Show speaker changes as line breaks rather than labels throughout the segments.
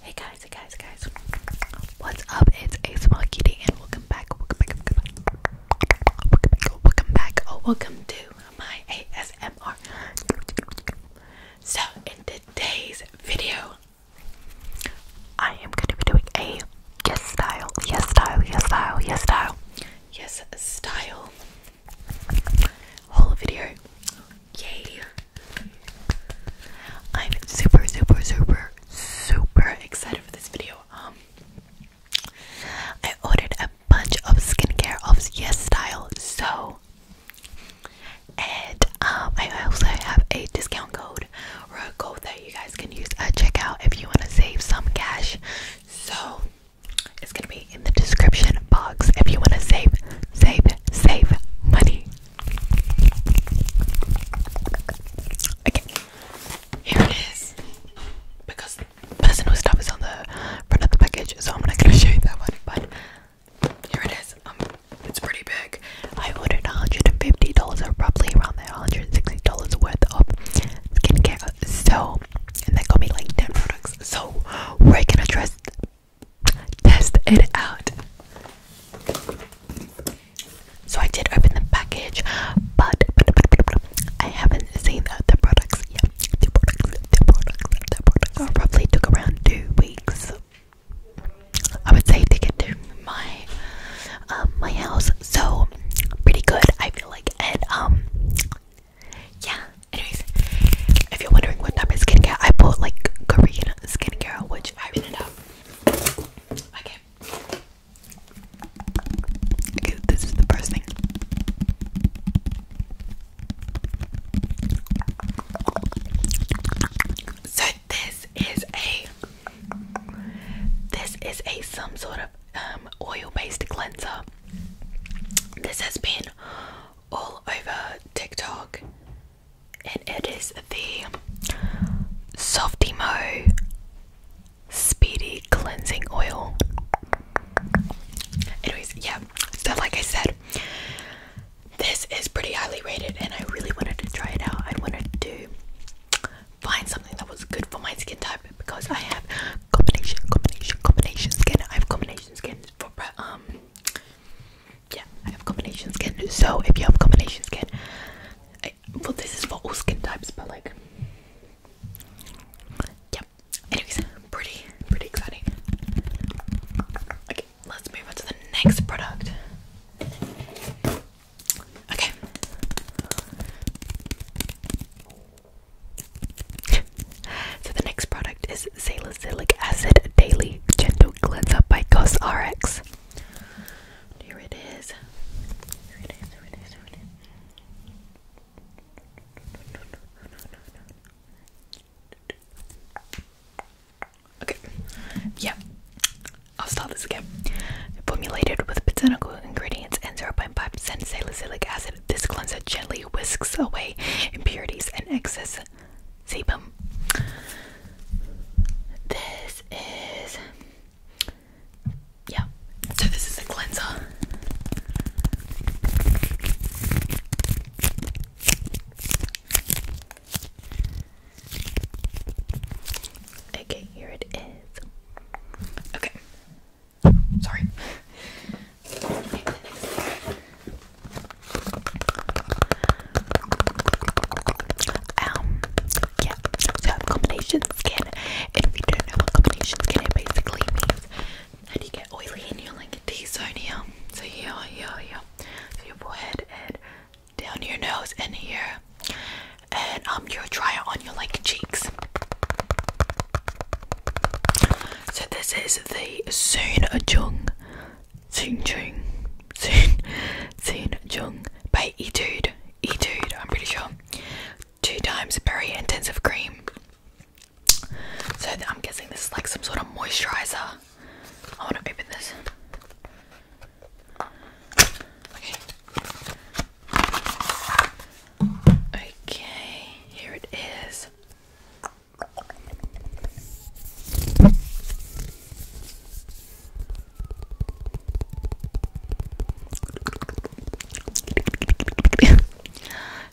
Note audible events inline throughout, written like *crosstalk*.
Hey guys, hey guys, guys. What's up? It's ASMR Kitty and welcome back, welcome back, welcome back, welcome back, welcome back, oh welcome to my ASMR. So in today's video, I am going to be doing a yes style, yes style, yes style, yes style, yes style whole video. Yay! I'm super, super, super, super excited for this video. Um, I ordered a bunch of skincare of Yes Style, so and um, I also have a discount code or a code that you guys can use at checkout if you want to save some cash. So it's gonna be in the description box if you want to save, save, save money. Okay, here it is. Because personal stuff is on the front of the package, so I'm not gonna *laughs* show you that one. But here it is. Um, it's pretty big. I ordered $150 or roughly around there, $160 worth of skincare. So, and they got me like 10 products. So, we're gonna test, test it out. So I did open the package, but, but, but, but, but I haven't seen the, the products yet. The products, the products, the products. Are probably took around two weeks. I would say to get to my um, my house, so pretty good. I feel like, and um, yeah. Anyways, if you're wondering what type of skincare, I bought like Korean skincare, which I ended up. Okay. Okay, this is the first thing. So this is a this is a some sort of um, oil-based cleanser. This has been all over TikTok and it is the Softy Softimo Speedy Cleansing Oil. Anyways, yeah, so like I said, this is pretty highly rated, and I really wanted to try it out. I wanted to find something that was good for my skin type because I have combination, combination, combination skin. I have combination skin for um, yeah, I have combination skin. So if you have combination skin, well, this is for all skin types, but like, yep. Anyways, pretty, pretty exciting. Okay, let's move on to the next product. Okay. *laughs* so the next product is Salicylic Acid Daily Gentle Cleanser by Cosrx. Here it is. Okay. Yeah. I'll start this again. Formulated with botanical ingredients and 0.5% salicylic acid, this cleanser gently whisks away impurities and excess sebum. This is yeah. So this is a cleanser. Okay, here it is. Okay. Sorry. Um, yeah, so combination skin. And if you don't know what combination skin it basically means, and you get oily and you like a T-zone here. So here, here, here. So your forehead and down your nose and here. And um you'll on your like cheeks. So this is the Soon Jung Soon Chung. Soon Soon Jung by Etude. Etude, I'm pretty sure. Two times very intensive cream. So I'm guessing this is like some sort of moisturizer. I want to open this. Okay. Okay, here it is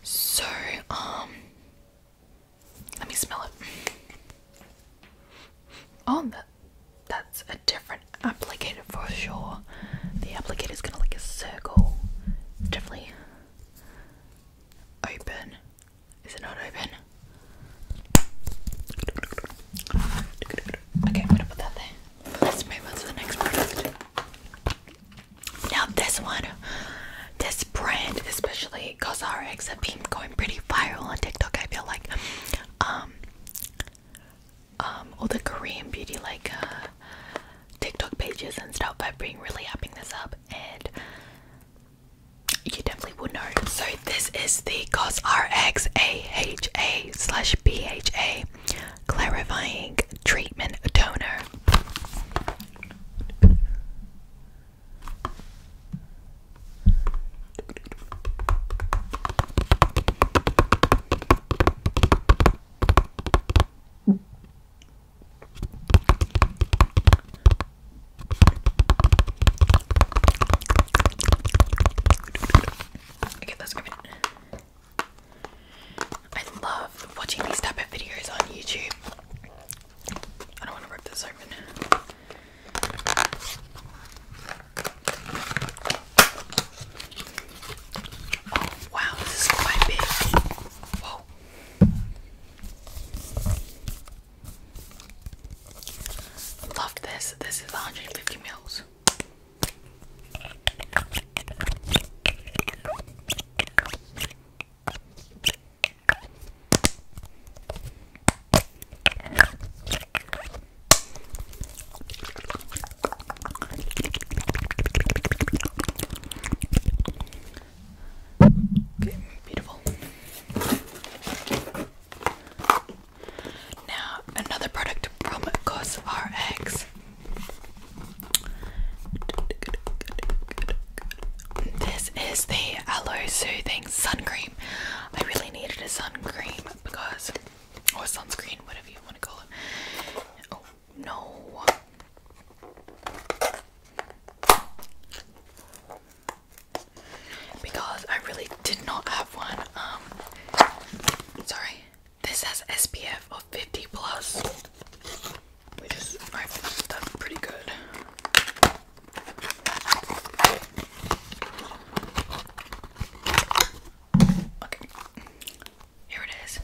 so, um, let me smell it. Oh, that, that's a different applicator for sure. The applicator is gonna like a circle, definitely open. Is it not open? Okay, I'm gonna put that there. Let's move on to the next product. Now this one, this brand, especially CosRx, have been going pretty viral on TikTok. I feel like, um, um, all the Korean beauty like uh, TikTok pages and stuff have been really upping this up, and you definitely would know. So this is the COS AHA slash BHA clarifying treatment toner. Okay, let's grab it. I love watching these type of videos on YouTube. I don't want to rip this open. Oh, wow, this is quite big. Whoa. Love this. This is 150 mils. Okay, beautiful. Now, another product from CosRx. This is the Aloe Soothing Sun I really needed a sun because, or sunscreen, whatever you want to call it. Oh, no because I really did not have one. Um, sorry. This has SPF of 50 plus, which is that's pretty good. Okay, here it is.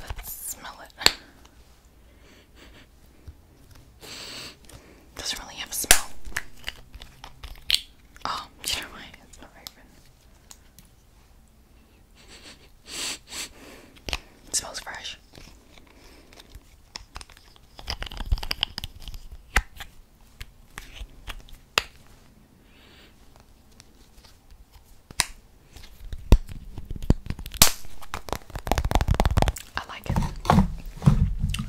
Let's smell it. Doesn't really have a smell. Oh, you know why it's not open. It smells fresh. I like it.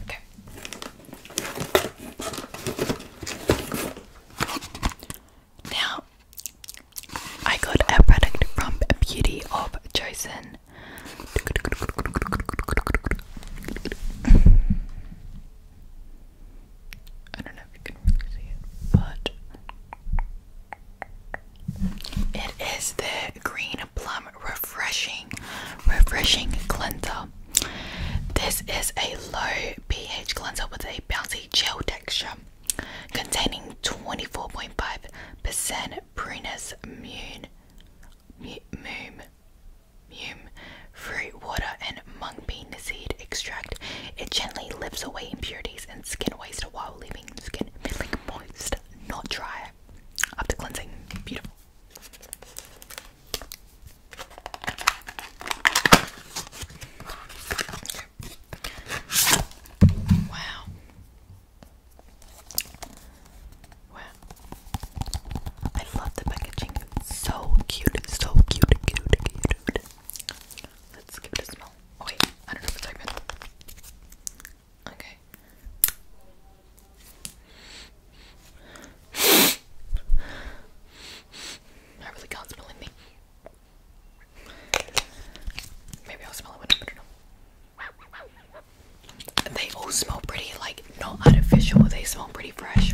Okay. Now, I got a product from Beauty of Jason. I don't know if you can really see it, but it is the Green Plum Refreshing Refreshing Cleanser. This is a low pH cleanser with a bouncy gel texture containing 24.5% Prunus Mune, Mume, Mume, Fruit Water, and Mung Bean seed extract. It gently lifts away impurities and skin waste while leaving the skin feeling moist, not dry. After cleansing, beautiful. Wow. Wow. I love the packaging. It's so cute. So cute, cute, cute. Let's give it a smell. Oh, wait, I don't know if it's open. Okay. I really can't smell anything. Maybe I'll smell it when I put They all smell pretty, like not artificial. They smell pretty fresh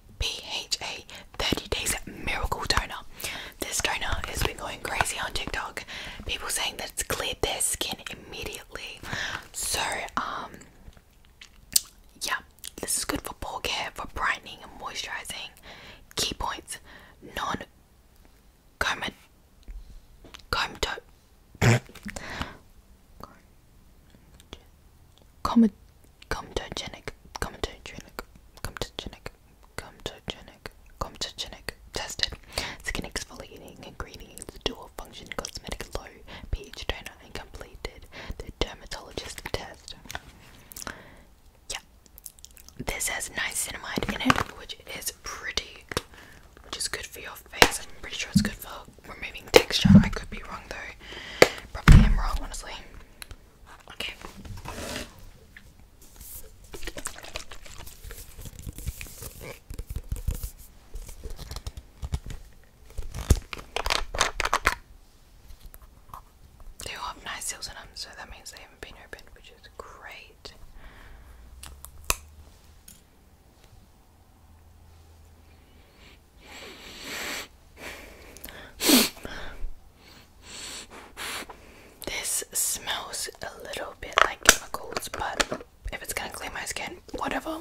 BHA 30 Days Miracle Toner. This toner has been going crazy on TikTok. People saying that it's cleared their skin immediately. So, um, yeah, this is good for pore care, for brightening and moisturizing. Key points non comat comato *coughs* comatose Comtogenic, comtogenic, comtogenic, comtogenic, comtogenic. Tested. Skin exfoliating ingredients, dual function cosmetic low pH toner, and completed the dermatologist test. Yeah. This has niacinamide in it, which is pretty, which is good for your face. I'm pretty sure it's good for removing texture. I could be wrong though. Probably am wrong, honestly. Okay. They all have nice seals in them, so that means they haven't been opened, which is great. This smells a little bit like chemicals, but if it's gonna clean my skin, whatever.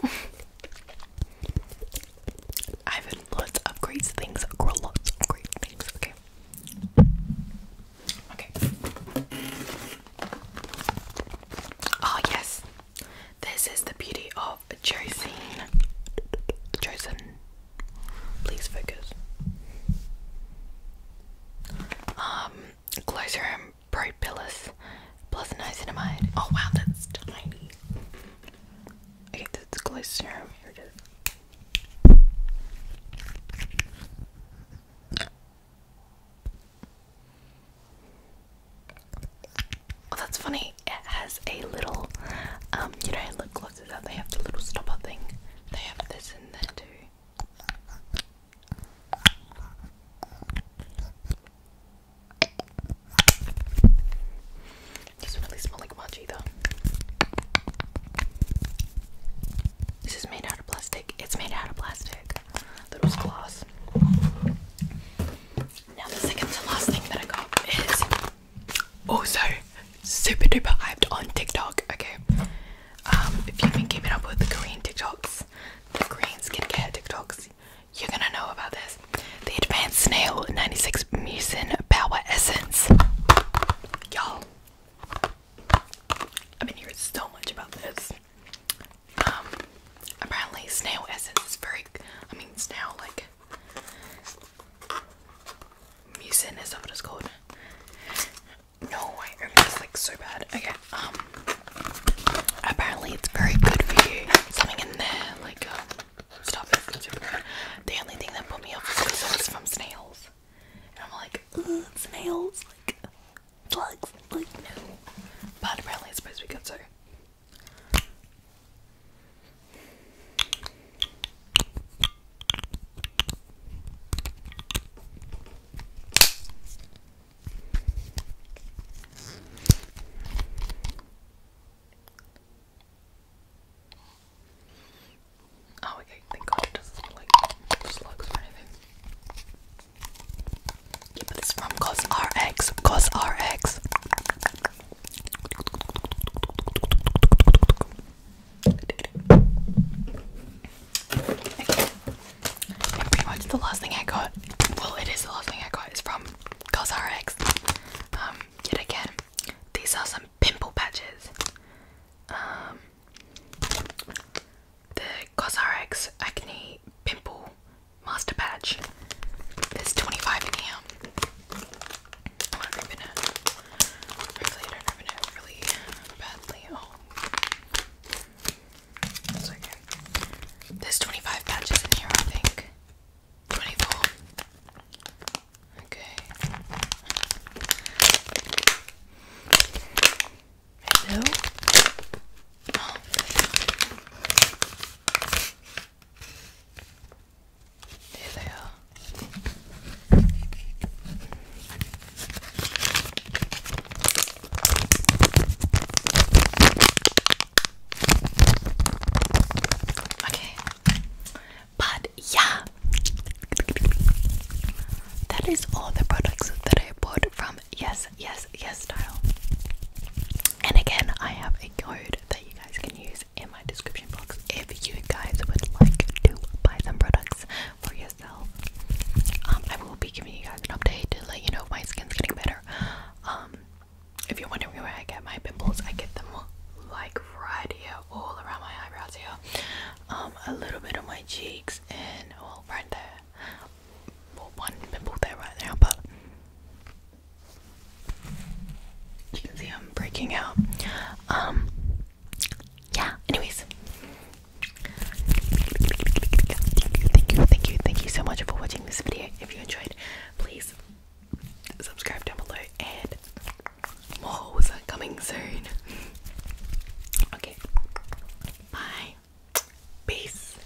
I've had lots of great things, grow lots of great things, okay. Okay. Oh yes. This is the beauty of of Josine. Josine, please focus. Um, Closerum Propylus plus niacinamide. Oh wow, that's tiny. Okay, that's the Closerum. Here it is. Oh, that's funny. It has a little, um, you know, lip glosses that they have the little stopper thing. They have this in there too. It really smell like much either. This is made out of plastic. It's made out of plastic. That was glass. Now the second to last thing that I got is also oh, super duper hyped on TikTok. Okay, um, if you've been keeping up with the Korean TikToks, the Korean skincare TikToks, you're gonna know about this. The Advanced Snail 96 Mucin Power Essence, y'all. I've been hearing so much about this. Um, apparently snail essence is very. I mean snail like Mucin is not what it's called. No, I remember this like so bad. Okay, um apparently it's very good for you. Something in there, like um stop it, The only thing that put me off was from snails. And I'm like, ugh, snails, like plugs, like no. But apparently it's supposed to be good so Oh, okay, thank God it doesn't look like slugs or anything. Yeah, but from Cos RX. And pretty much the last thing I got, well, it is the last thing I got, is from Cosrx. Um, yet again, these are some pimple patches. Um, the Cosrx Acne Pimple Master Patch. There's 25 in here. I'm really badly. Oh. That's There's 25 patches in here, I think. 24. Okay. Hello? Oh, there they are. Okay. But yeah. That is all the products that I bought from Yes, Yes, Yes Style. And again, I have a code that you guys can use in my description box if you guys would like to buy some products for yourself. Um, I will be giving you guys an update to let you know my skin's getting better. Um, if you're wondering where I get my pimples, I get them like right here, all around my eyebrows here, um, a little bit on my cheeks, and well, there. one pimple there right now, but you can see I'm breaking out. Um, yeah, anyways. Thank you, thank you, thank you so much for watching this video. If you enjoyed, please subscribe down below and more hauls coming soon. Okay, bye. Peace.